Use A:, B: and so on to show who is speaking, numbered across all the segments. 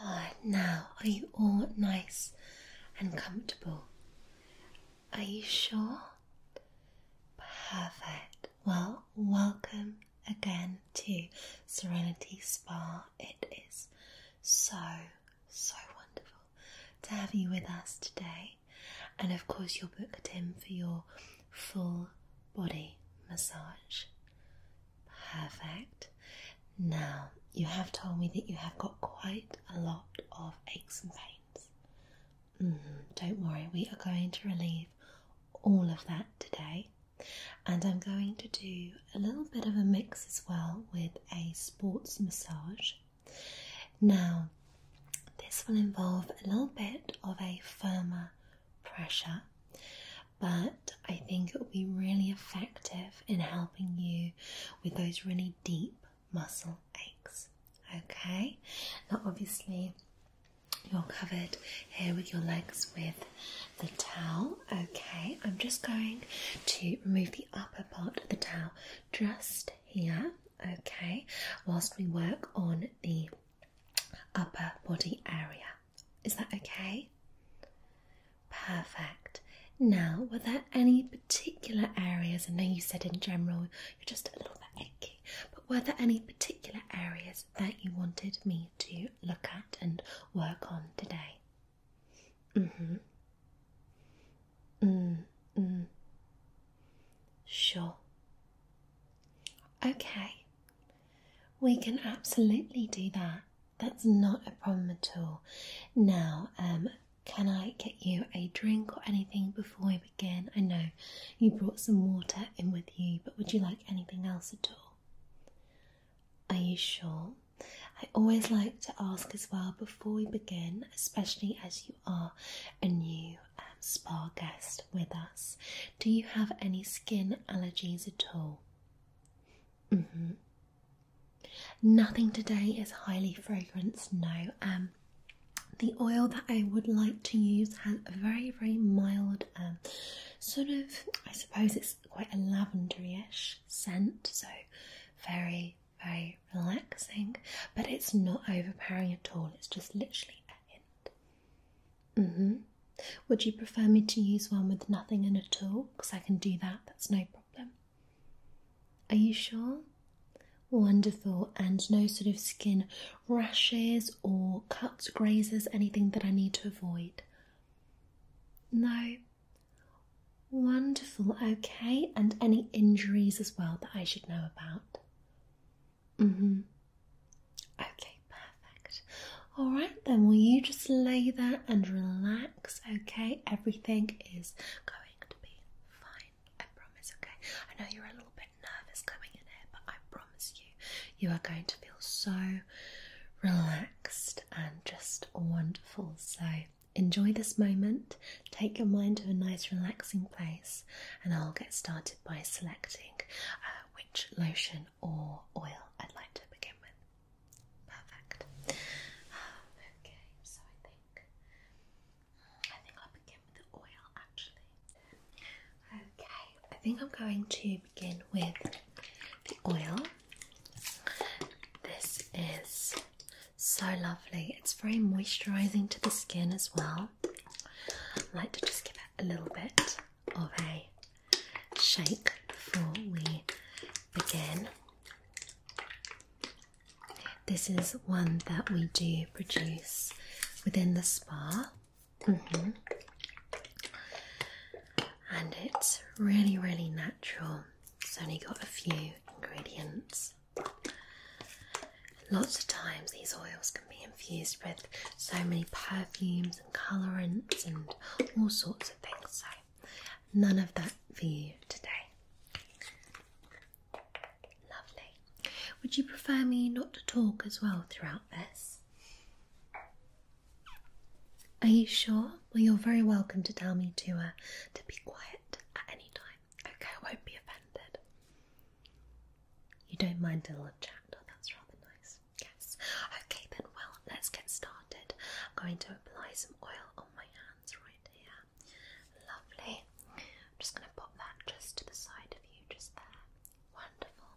A: Ah, now are you all nice and comfortable? Are you sure? Perfect. Well, welcome again to Serenity Spa. It is so, so wonderful to have you with us today. And of course, you're booked in for your full body massage. Perfect. Now, you have told me that you have got quite a lot of aches and pains. Mm-hmm. don't worry, we are going to relieve all of that today. And I'm going to do a little bit of a mix as well with a sports massage. Now, this will involve a little bit of a firmer pressure, but I think it will be really effective in helping you with those really deep muscle aches. Okay, now obviously you're covered here with your legs with the towel. Okay, I'm just going to remove the upper part of the towel just here. Okay, whilst we work on the upper body area. Is that okay? Perfect. Now, were there any particular areas? I know you said in general you're just a little bit achy, but were there any particular areas that you wanted me to look at and work on today? Mm-hmm. Mm hmm. Sure. Okay. We can absolutely do that. That's not a problem at all. Now, um, can I get you a drink or anything before we begin? I know you brought some water in with you, but would you like anything else at all? Are you sure? I always like to ask as well before we begin, especially as you are a new um, spa guest with us. Do you have any skin allergies at all? Mm-hmm. Nothing today is highly fragranced, no. Um, the oil that I would like to use has a very, very mild, um, sort of, I suppose it's quite a lavenderish scent, so very, very relaxing, but it's not overpowering at all, it's just literally a hint. hmm. Would you prefer me to use one with nothing in at all? Because I can do that, that's no problem. Are you sure? Wonderful, and no sort of skin rashes or cuts, grazes, anything that I need to avoid? No. Wonderful, okay, and any injuries as well that I should know about? Mm hmm. Okay, perfect. All right, then, will you just lay there and relax? okay? Everything is going to be fine, I promise, okay? I know you're a little bit nervous coming in here, but I promise you, you are going to feel so relaxed and just wonderful. So, enjoy this moment, take your mind to a nice, relaxing place, and I'll get started by selecting uh, which lotion or oil I'd like to begin with. Perfect. okay, so I think I think I'll begin with the oil actually. Okay, I think I'm going to begin with the oil. This is so lovely. It's very moisturizing to the skin as well. I like to just give it a little bit of a shake before we begin. This is one that we do produce within the spa. Mm-hmm. And it's really, really natural. It's only got a few ingredients. Lots of times, these oils can be infused with so many perfumes and colorants and all sorts of things. So, None of that for you today. Lovely. Would you prefer me not to talk as well throughout this? Are you sure? Well, you're very welcome to tell me to uh, to be quiet at any time. Okay, I won't be offended. You don't mind a little chat. Oh, that's rather nice. Yes. Okay, then. Well, let's get started. I'm going to apply some oil my hands right here. Lovely. I'm just going to pop that just to the side of you, just there. Wonderful.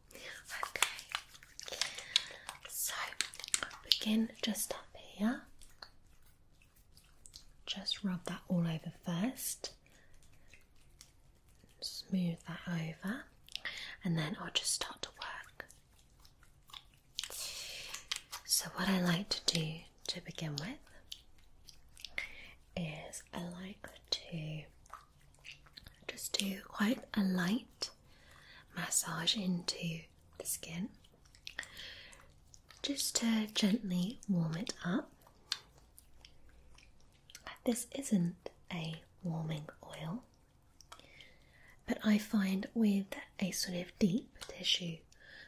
A: Okay. So, begin just up here. Just rub that all over first. Smooth that over. And then I'll just start to work so, what I like to do to begin with is I like to just do quite a light massage into the skin just to gently warm it up. This isn't a warming oil, but I find with a sort of deep tissue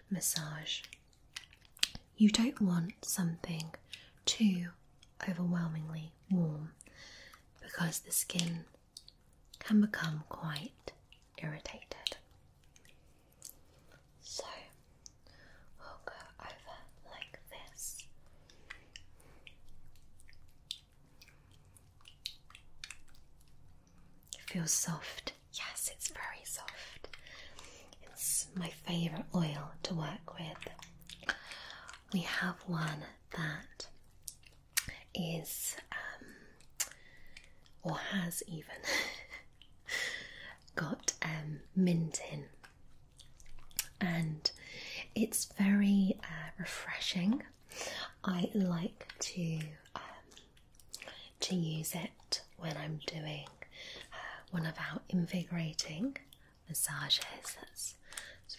A: massage. You don't want something too overwhelmingly warm because the skin can become quite irritated. So we'll go over like this. feels soft Yes, it's very soft. It's my favorite oil to work with. We have one that is, um, or has even got um, mint in, and it's very uh, refreshing. I like to um, to use it when I'm doing uh, one of our invigorating massages. That's,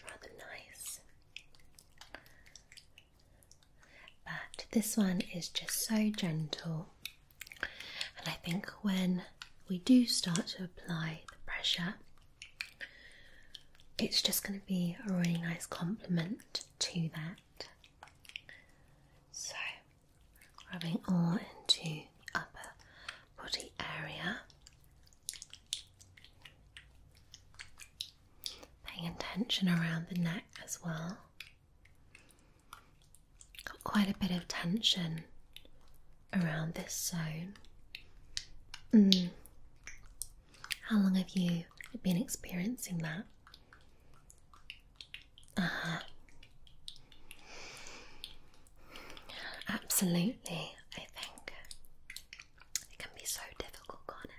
A: rather nice. But this one is just so gentle, and I think when we do start to apply the pressure, it's just going to be a really nice complement to that. So, rubbing all into the upper body area, paying attention around the neck as well. Got quite a bit of tension around this zone. Mm. How long have you been experiencing that? Uh-huh. Absolutely, I think it can be so difficult, can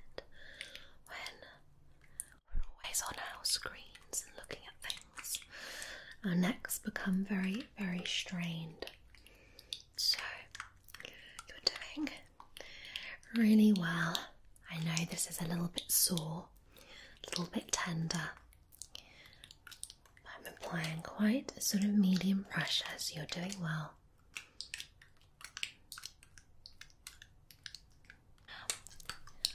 A: When we're always on our screens and looking at things, our necks become very, very strained. So, you're doing really well. I know this is a little bit sore, a little bit tender. I'm applying quite a sort of medium pressure, so you're doing well.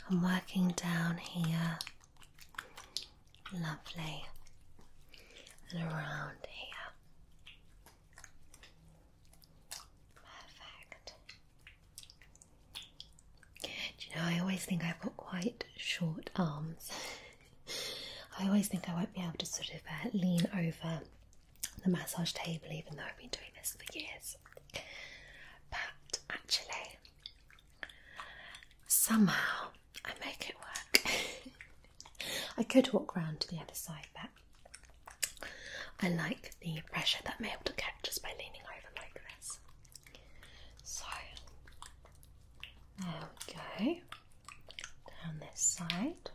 A: I'm working down here, lovely, and around here. Perfect you know, I always think I've got quite short arms. I always think I won't be able to sort of uh, lean over the massage table, even though I've been doing this for years. But actually, somehow I make it work. I could walk round to the other side, but I like the pressure that I'm able to get just by leaning over like this. So there we go. Down this side.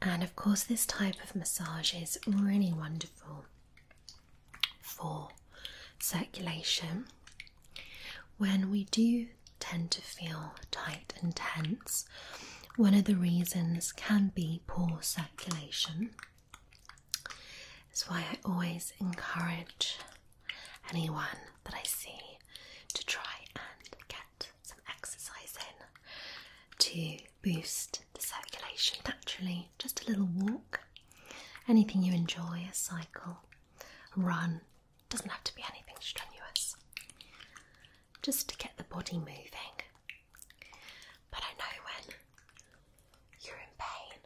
A: And of course, this type of massage is really wonderful for circulation when we do tend to feel tight and tense. One of the reasons can be poor circulation. That's why I always encourage anyone that I see to try and get some exercise in to boost the circulation naturally. Just a little walk, anything you enjoy, a cycle, a run, doesn't have to be anything strenuous just to get the body moving. But I know when you're in pain,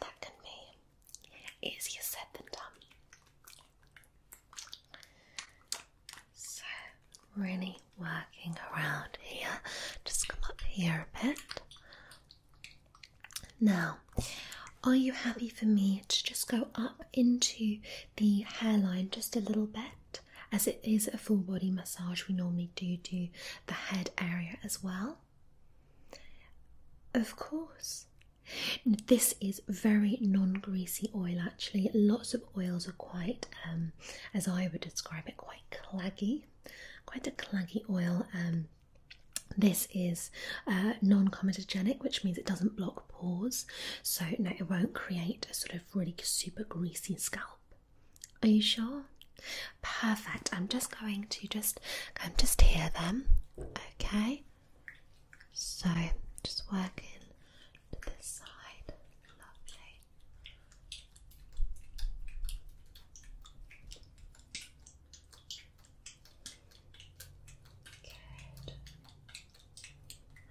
A: that can be easier said than done. So, really working around here, just come up here a bit. Now, are you happy for me to just go up into the hairline just a little bit? as it is a full body massage, we normally do do the head area as well. Of course. This is very non-greasy oil actually. Lots of oils are quite, um, as I would describe it, quite claggy. Quite a claggy oil. Um, this is uh, non-comedogenic, which means it doesn't block pores. So it won't create a sort of Really super greasy scalp. Are you sure? Perfect. I'm just going to just I'm just hear them. Okay. So just working to this side.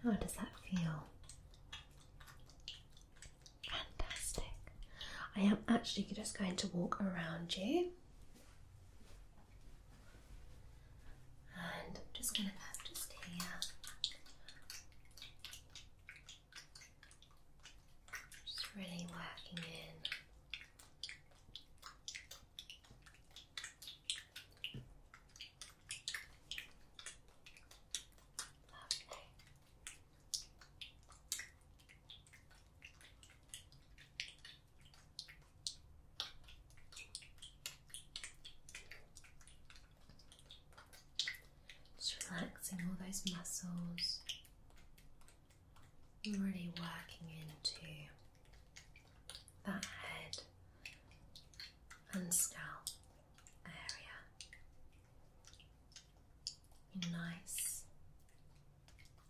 A: Lovely. How does that feel? Fantastic. I am actually just going to walk around you. And I'm just going to put just here. Just really working in just relaxing all those muscles, really working into that head and scalp area nice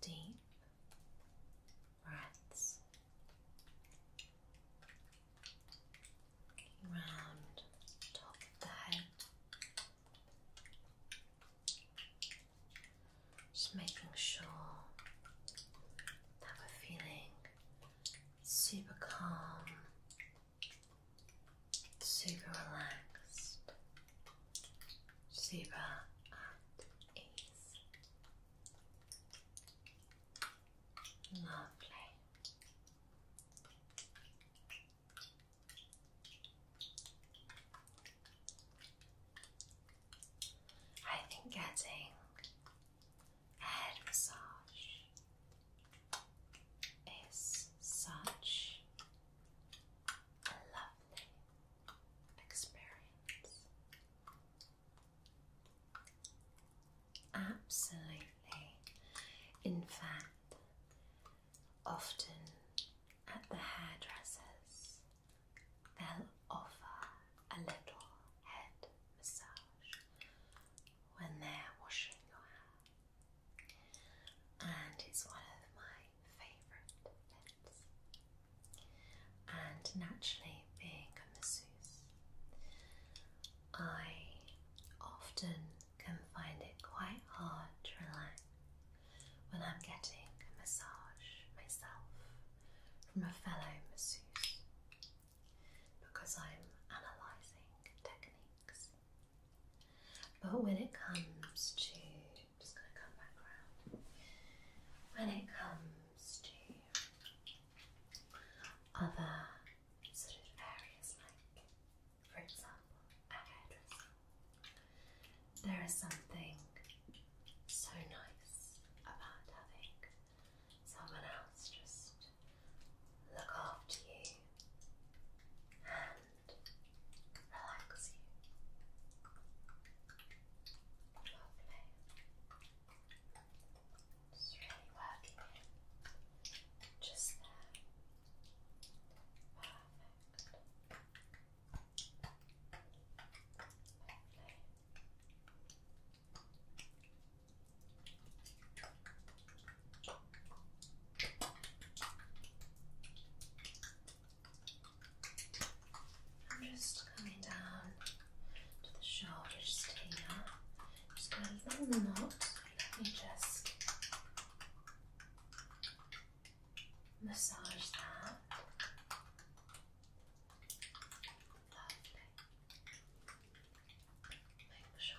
A: deep breaths round top of the head. Just making sure that we're feeling super calm super relaxed, super at ease. Lovely. I think getting head massage is such a lovely experience. Absolutely. In fact, often at the hairdressers, they'll offer a little head massage when they're washing your hair, and it's one of my favourite scents. And naturally, being a masseuse, I often can find it quite hard to relax when I'm getting a massage myself from a fellow masseuse because I'm analysing techniques. But when it comes to, just going to come back around, when it comes to other sort of areas, like for example, a hairdresser, there is something so nice about having someone else just look after you and relax you. Lovely. It's really working Just there. Perfect. Lovely. I'm just coming down to the shoulders here. Just got a little knot. Let me just massage that. Make sure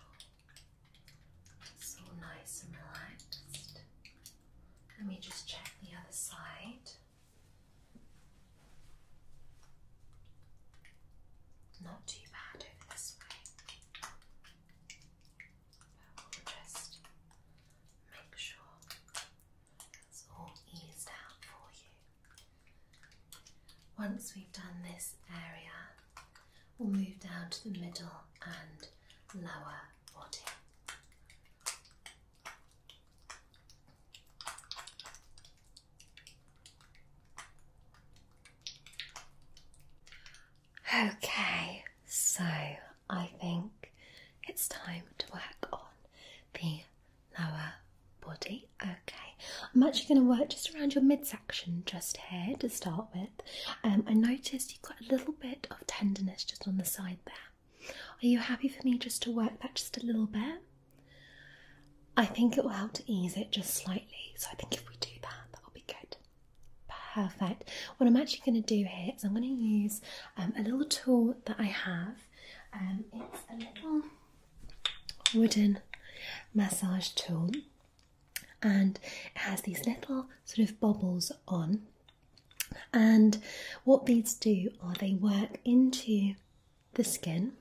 A: it's all nice and relaxed. Let me just check the other side. Not too bad over this way. But we'll just make sure it's all eased out for you. Once we've done this area, We'll move down to the middle and lower body. Okay, so I think it's time to work on the lower body. Okay, I'm actually going to work just around your midsection just here to start with. Um, I noticed you've got a little bit of tenderness just on the side there. Are you happy for me just to work that just a little bit? I think it will help to ease it just slightly. So I think if we do that, that'll be good. Perfect. What I'm actually going to do here is I'm going to use um, a little tool that I have. Um, it's a little wooden massage tool and it has these little sort of bubbles on. And what these do are they work into the skin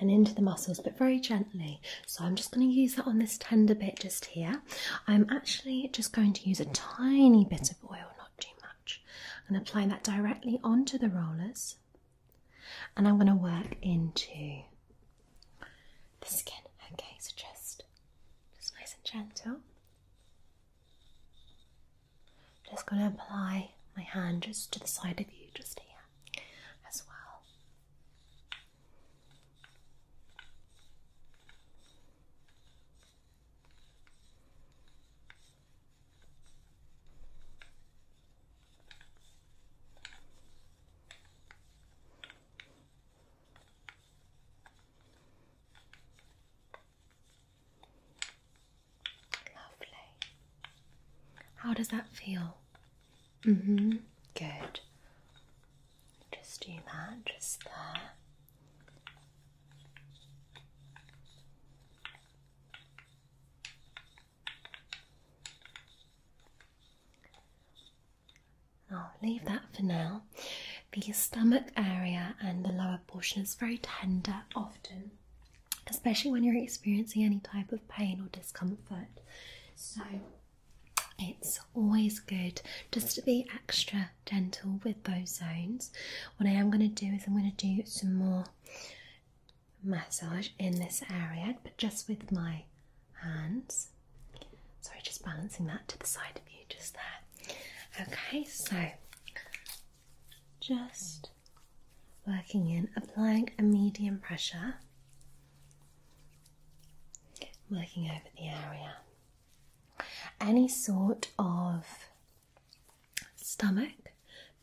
A: and into the muscles, but very gently. So I'm just going to use that on this tender bit just here. I'm actually just going to use a tiny bit of oil, not too much, and apply that directly onto the rollers. And I'm going to work into the skin, okay, so just, just nice and gentle. Just going to apply my hand just to the side of you, just here as well. Lovely. How does that feel? Mm hmm. Good. Just do that, just there. I'll leave that for now. The stomach area and the lower portion is very tender often, especially when you're experiencing any type of pain or discomfort. So it's always good just to be extra gentle with those zones. What I am going to do is I'm going to do some more massage in this area, but just with my and Sorry, just balancing that to the side of you, just there. Okay, so just working in, applying a medium pressure, working over the area. Any sort of stomach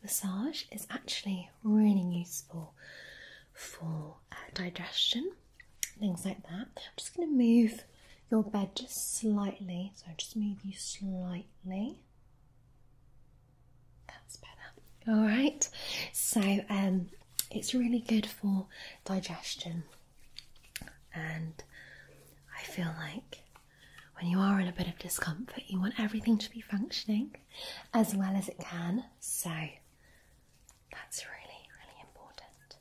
A: massage is actually really useful for uh, digestion, things like that. I'm just going to move your bed just slightly, so just move you slightly. That's better. All right. So um, it's really good for digestion, and I feel like when you are in a bit of discomfort, you want everything to be functioning as well as it can. So that's really, really important.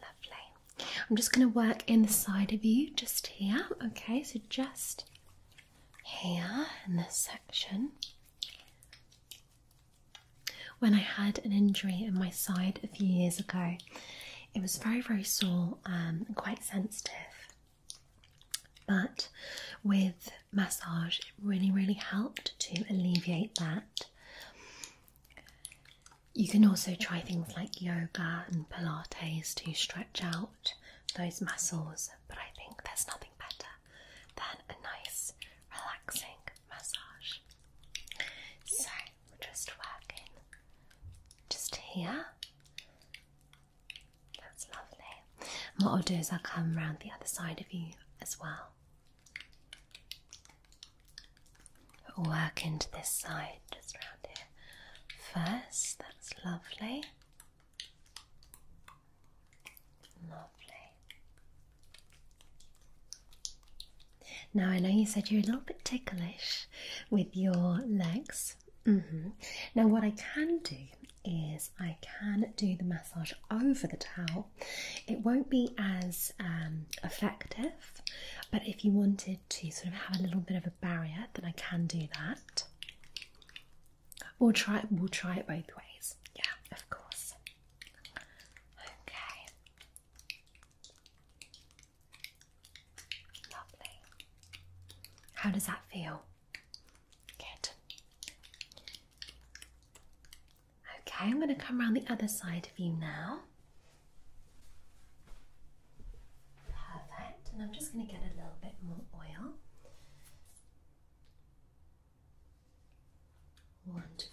A: Lovely. I'm just going to work in the side of you just here. Okay, so just here in this section. When I had an injury in my side a few years ago, it was very, very sore um, and quite sensitive. But with massage, it really, really helped to alleviate that. You can also try things like yoga and Pilates to stretch out those muscles, but I think there's nothing better than a nice, relaxing massage. So we're just working just here. That's lovely. what I'll do is I'll come around the other side of you as well. Work into this side just round here first. That's lovely. Lovely. Now, I know you said you're a little bit ticklish with your legs. Mm-hmm. Now, what I can do is I can do the massage over the towel it won't be as um, effective, but if you wanted to sort of have a little bit of a barrier, then I can do that. We'll try it. We'll try it both ways. Yeah, of course. Okay. Lovely. How does that feel? Good. Okay, I'm going to come around the other side of you now. Perfect. And I'm just going to get a little bit more oil. Wonderful.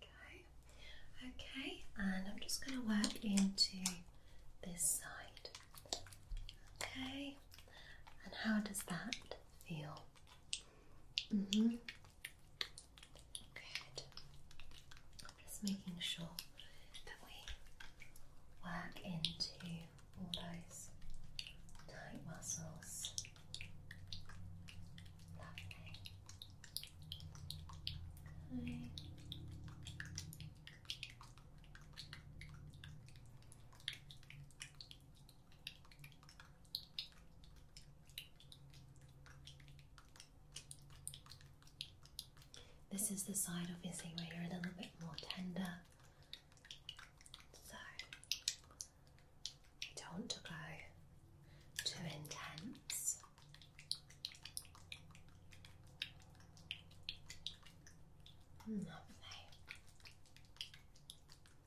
A: There Okay, and I'm just going to work into this side. Okay, and how does that feel? Mm-hmm. Good. I'm just making sure that we work into all those tight muscles. This is the side, of thing where you're a little bit more tender. So, don't want to go too intense. Lovely. Hmm,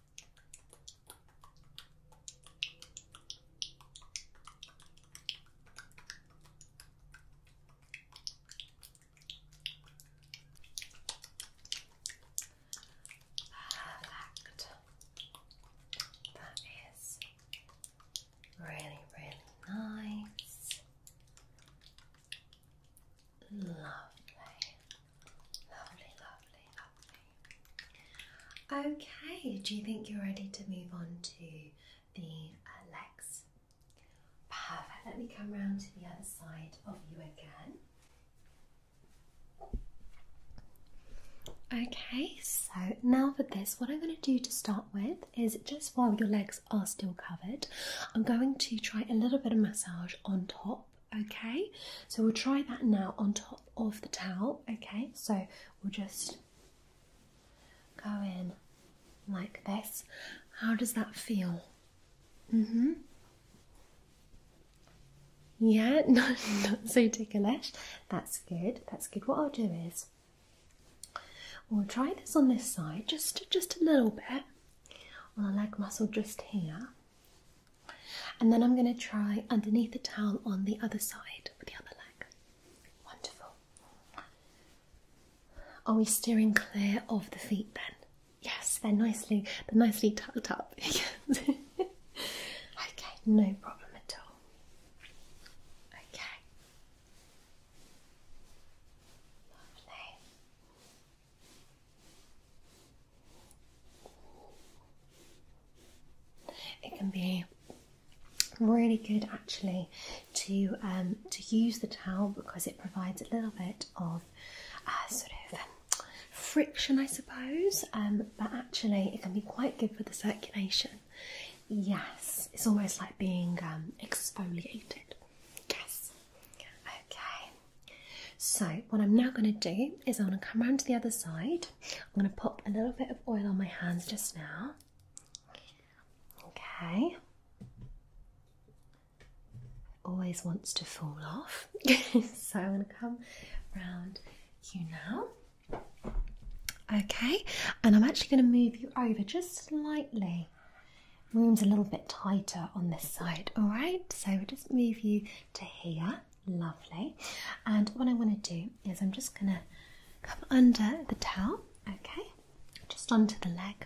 A: Perfect. That is really, really nice. Lovely. Lovely, lovely, lovely. Okay, do you think you're ready to move on to the uh, legs? Perfect. Let me come round to the other side of you again. Okay, so now for this, what I'm going to do to start with is just while your legs are still covered, I'm going to try a little bit of massage on top Okay, so we'll try that now on top of the towel. Okay, so we'll just go in like this. How does that feel? Mm hmm. Yeah, not, not so ticklish. That's good. That's good. What I'll do is we'll try this on this side, just just a little bit on the leg muscle just here. And then I'm going to try underneath the towel on the other side with the other leg. Wonderful. Are we steering clear of the feet then? Yes, they're nicely they're nicely tucked up. okay, no problem at all. Okay. Lovely. It can be really good actually to um, to use the towel because it provides a little bit of uh, sort of friction, I suppose. Um, but actually, it can be quite good for the circulation. Yes, it's almost like being um, exfoliated. Yes. Okay. So, what I'm now going to do is I'm going to come around to the other side. I'm going to pop a little bit of oil on my hands just now. Okay. Always wants to fall off. so, I'm going to come round you now. Okay, and I'm actually going to move you over just slightly. Room's a little bit tighter on this side, all right? So we'll just move you to here. Lovely. And what I want to do is I'm just going to come under the towel, okay, just onto the leg,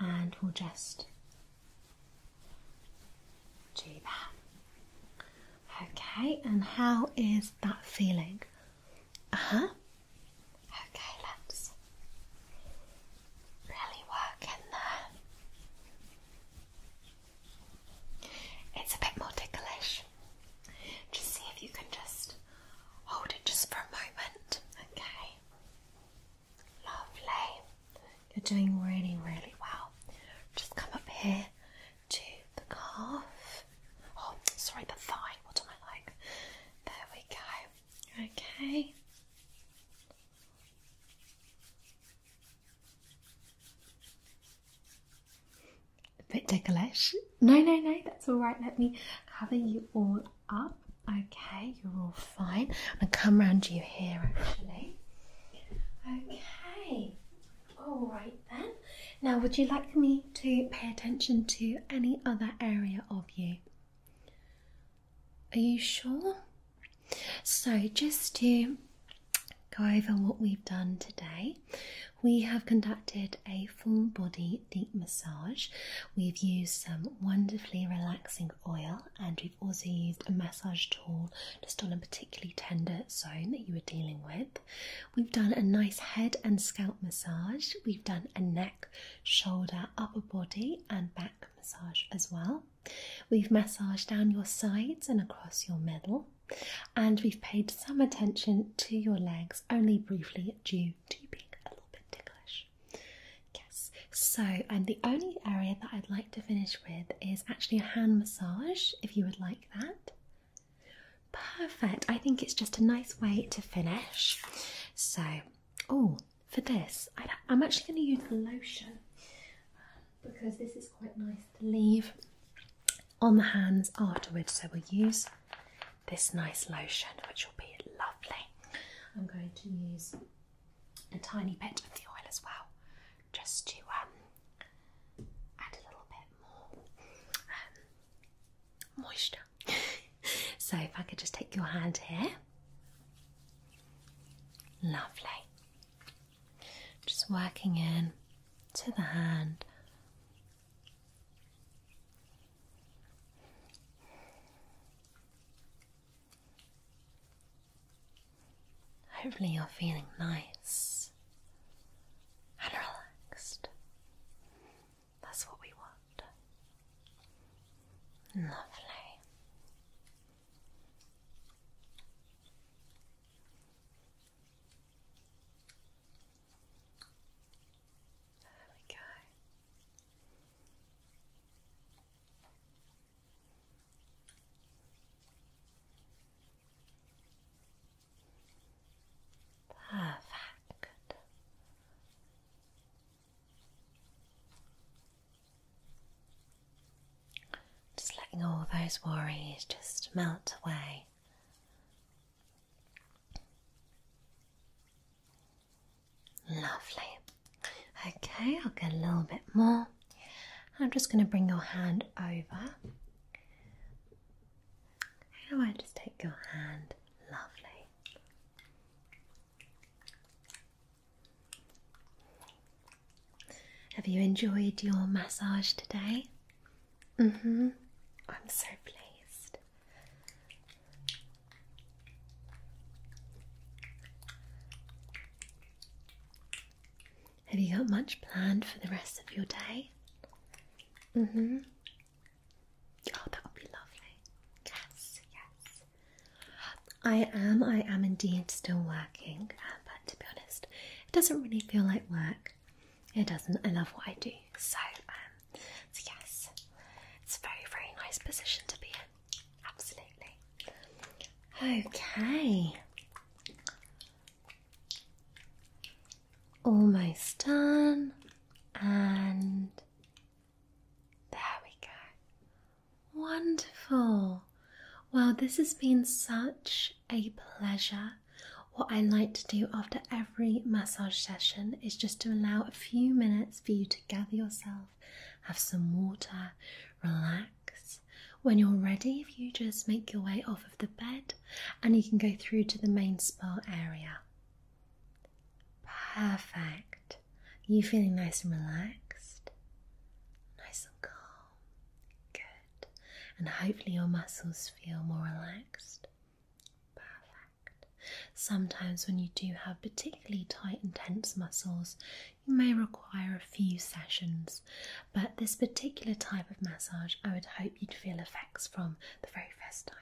A: and we'll just do that. Okay, and how is that feeling? Uh huh. Okay, let's really work in there. It's a bit more ticklish. Just see if you can just hold it just for a moment. Okay. Lovely. You're doing really, really well. Just come up here to the calf. Oh, sorry, the thigh. What am I like? There we go. Okay. A bit décolleté. No, no, no, that's all right. Let me cover you all up. Okay, you're all fine. I'm gonna come round you here actually. Okay, all right then. Now, would you like me to pay attention to any other area of you? Are you sure? So, just to go over what we've done today, we have conducted a full body deep massage. We've used some wonderfully relaxing oil, and we've also used a massage tool just on a particularly tender zone that you were dealing with. We've done a nice head and scalp massage, we've done a neck, shoulder, upper body, and back massage as well. We've massaged down your sides and across your middle, and we've paid some attention to your legs only briefly due to being a little bit ticklish. Yes, so and the only area that I'd like to finish with is actually a hand massage if you would like that. Perfect, I think it's just a nice way to finish. So, oh, for this, I, am actually going to use lotion because this is quite nice to leave on the hands afterwards. So we'll use this nice lotion, which will be lovely. I'm going to use a tiny bit of the oil as well, just to um, add a little bit more um, moisture. so if I could just take your hand here. Lovely. Just working in to the hand. Hopefully, you're feeling nice and relaxed. That's what we want. Lovely. There oh we go. Perfect. Just letting all those worries just melt away. Lovely. Okay, I'll get a little bit more. I'm just going to bring your hand over. How I just take your hand, lovely. Have you enjoyed your massage today? Mm hmm. I'm so pleased. Have you got much planned for the rest of your day? Mm hmm. Oh, that would be lovely. Yes, yes. I am, I am indeed still working, uh, but to be honest, it doesn't really feel like work. It doesn't. I love what I do. So, um, so yes, it's a very, very nice position to be in. Absolutely. Okay. Almost done. And there we go. Wonderful. Well, this has been such a pleasure what I like to do after every massage session is just to allow a few minutes for you to gather yourself, have some water, relax. When you're ready, if you just make your way off of the bed and you can go through to the main spa area. Perfect. You feeling nice and relaxed, nice and calm. Good. And hopefully your muscles feel more relaxed. Perfect. Sometimes when you do have particularly tight and tense muscles, you may require a few sessions, but this particular type of massage, I would hope you'd feel effects from the very first time.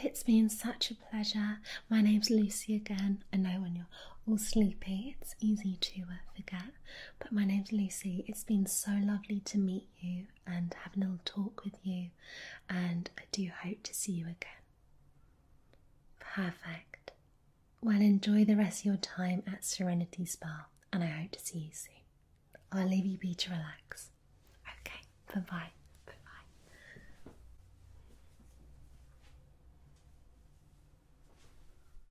A: It's been such a pleasure. My name's Lucy again. I know when you're all sleepy, it's easy to uh, forget, but my name's Lucy. It's been so lovely to meet you and have a little talk with you, and I do hope to see you again. Perfect. Well, enjoy the rest of your time at Serenity Spa, and I hope to see you soon. I'll leave you be to relax. Okay, bye bye. Bye bye.